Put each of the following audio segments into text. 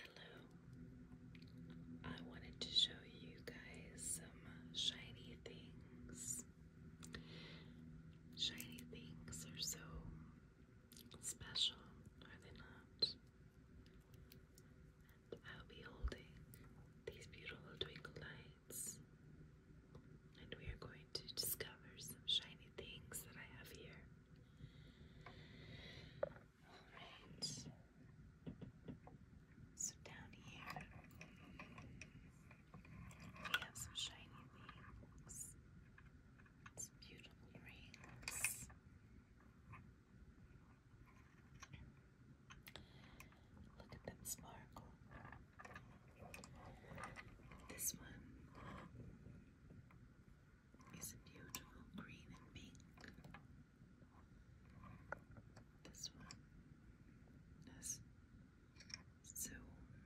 Hello. I wanted to show you guys some shiny things. Shiny things are so special, are they not? I'll be holding these beautiful twinkle lights. And we are going to discover some shiny things that I have here. Alright. So down here we have some shiny things. Some beautiful rings. Look at them sparkle. This one it's a beautiful green and pink. This one has so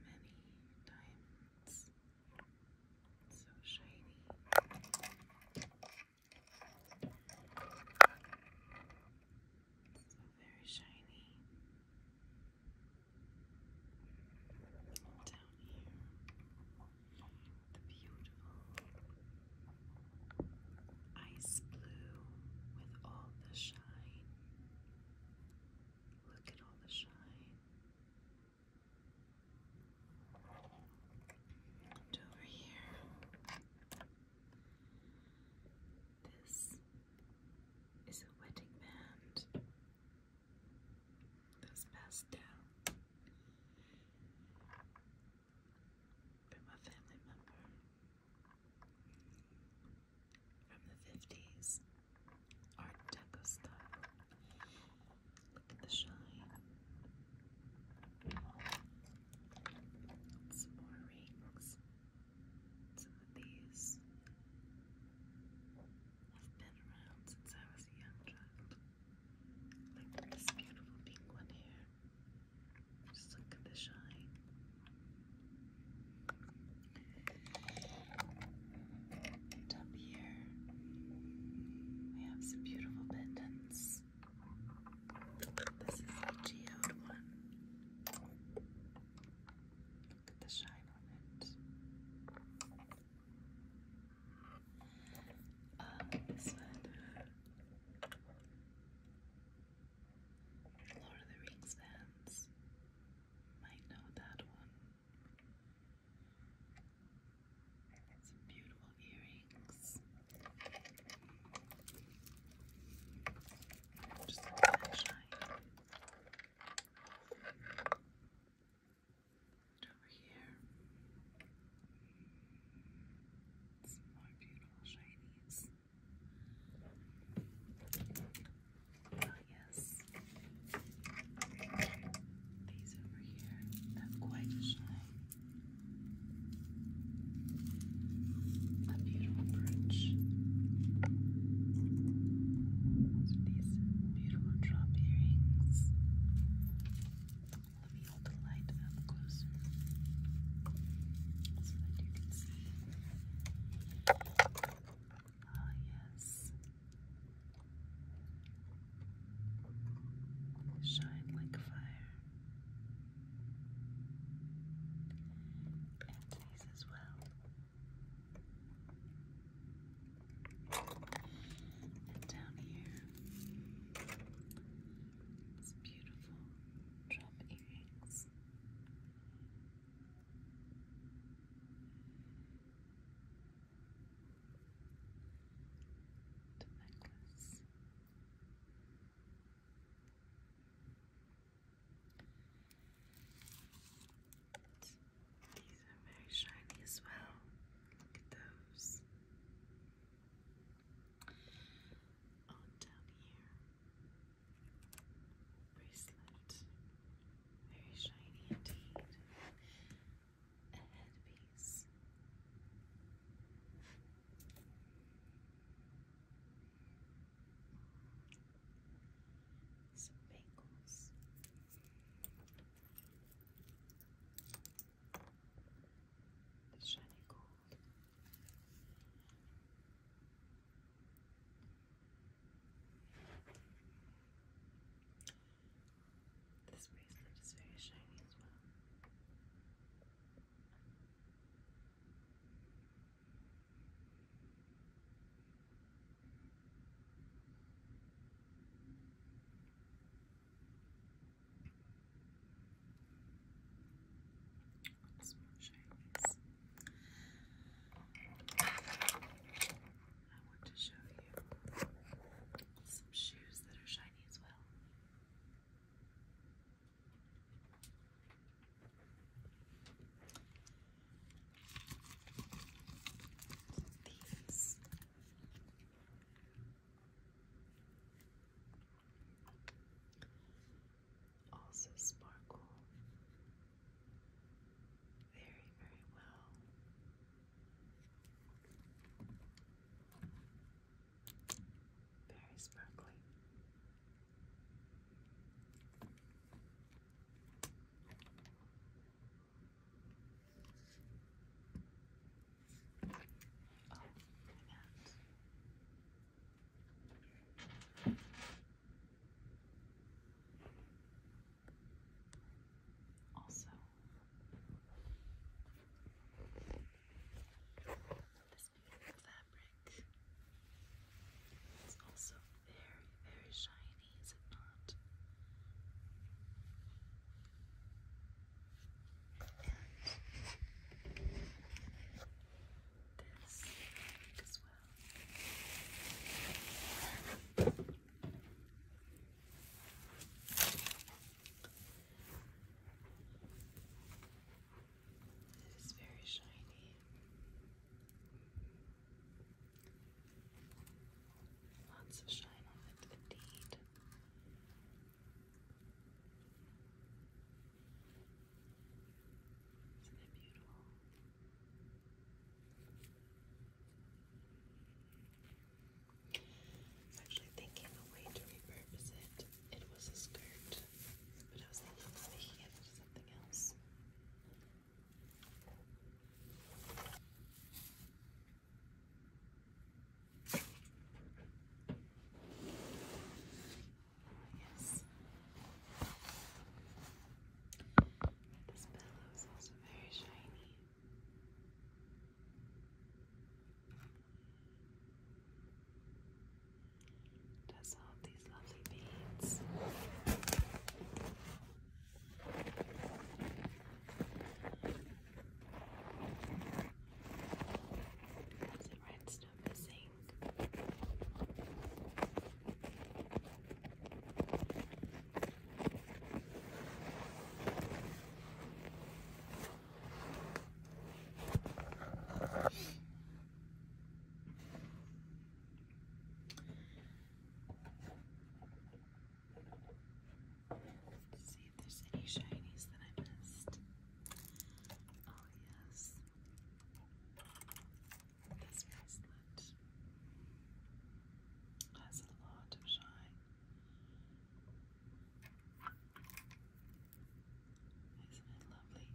many diamonds, so shiny. So very shiny. Down here, the beautiful ice blue with all the shine. Look at all the shine. And over here, this is a wedding band this passed down. From a family member from the 50s, Art Deco style. Look at the shine. Some more rings. Some of these. I've been around since I was a young child. Look at this beautiful pink here. Just look at the shine. up here, we have some beautiful pendants. This is the geode one. Look at the shine on it. Um, this Lord of the Rings fans might know that one. Some beautiful earrings. Just a shine. And over here, some more beautiful shinies. Oh, yes. These over here have quite a A beautiful brooch. These beautiful drop earrings. Let me hold the light up closer so that you can see. Ah, yes. Shine like fire. And these as well. And down here, these beautiful drop earrings. The necklace. These are very shiny as well. Look at those. On down here. Bracelet. Very shiny indeed. A headpiece. Some bangles shiny gold. This bracelet is very shiny as well. I want to show you some shoes that are shiny as well these. Also sparkle very, very well. Very sparkly. Also, this beautiful fabric also very, very shiny, is it not? this as well. It is very shiny. Lots of shine on it, indeed. Isn't it beautiful? I was actually thinking the way to repurpose it. It was a skirt, but I was thinking of making it into something else. Yes. This pillow is also very shiny. It all these lovely beads. Is it red still missing? let see if there's any shinies that I missed. Oh, yes. This bracelet has a lot of shine. Isn't it lovely?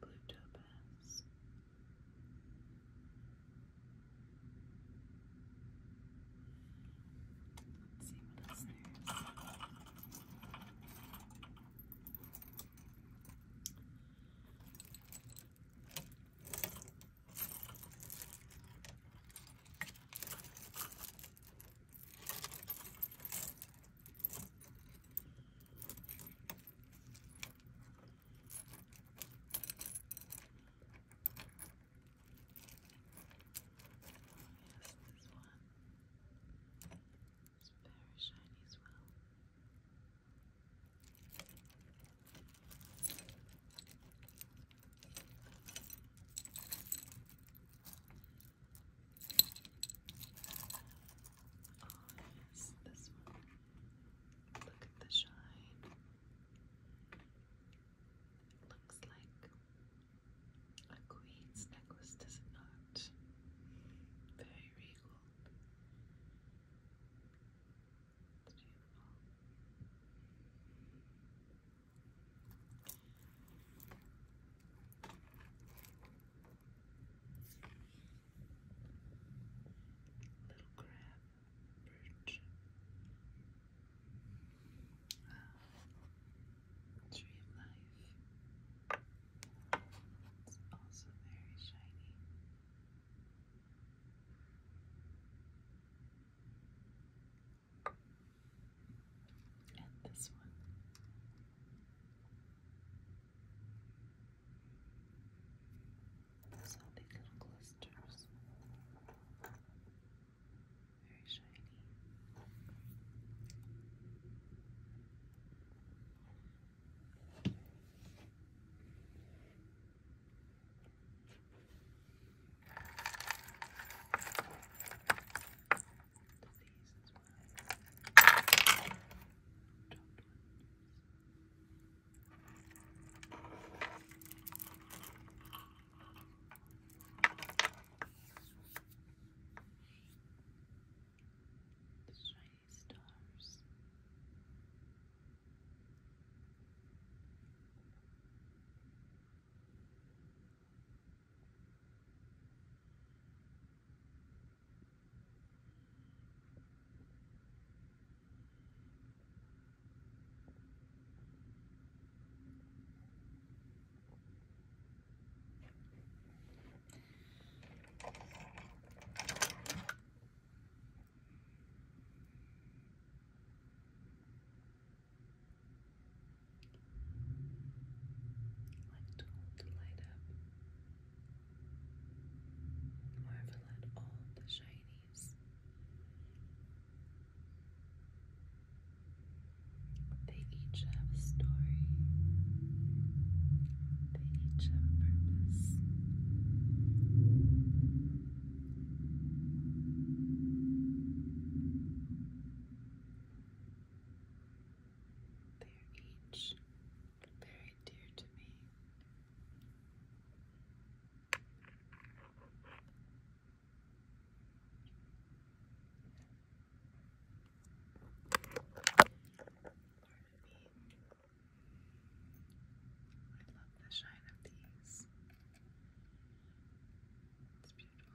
blue topaz. Let's see what else there is this one is very shiny as well. Oh, yes, this one. Look at the shine. It looks like a queen's necklace, does it not? Very regal. beautiful little crab, perch, tree of life. It's also very shiny. And this one. So big little clusters. Very shiny. Very disease as well. The shiny stars. The like to hold the light up. Marvel at all the shinies. They each have a story. They each have a purpose. They are each very dear to me. I love the shine of these. It's beautiful.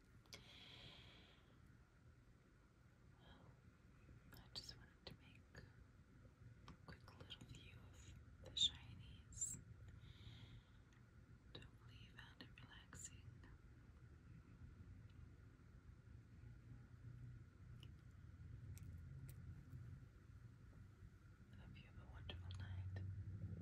Oh, I just wanted to make a quick little view of the shinies. Totally you found it relaxing. Hope you have a wonderful night.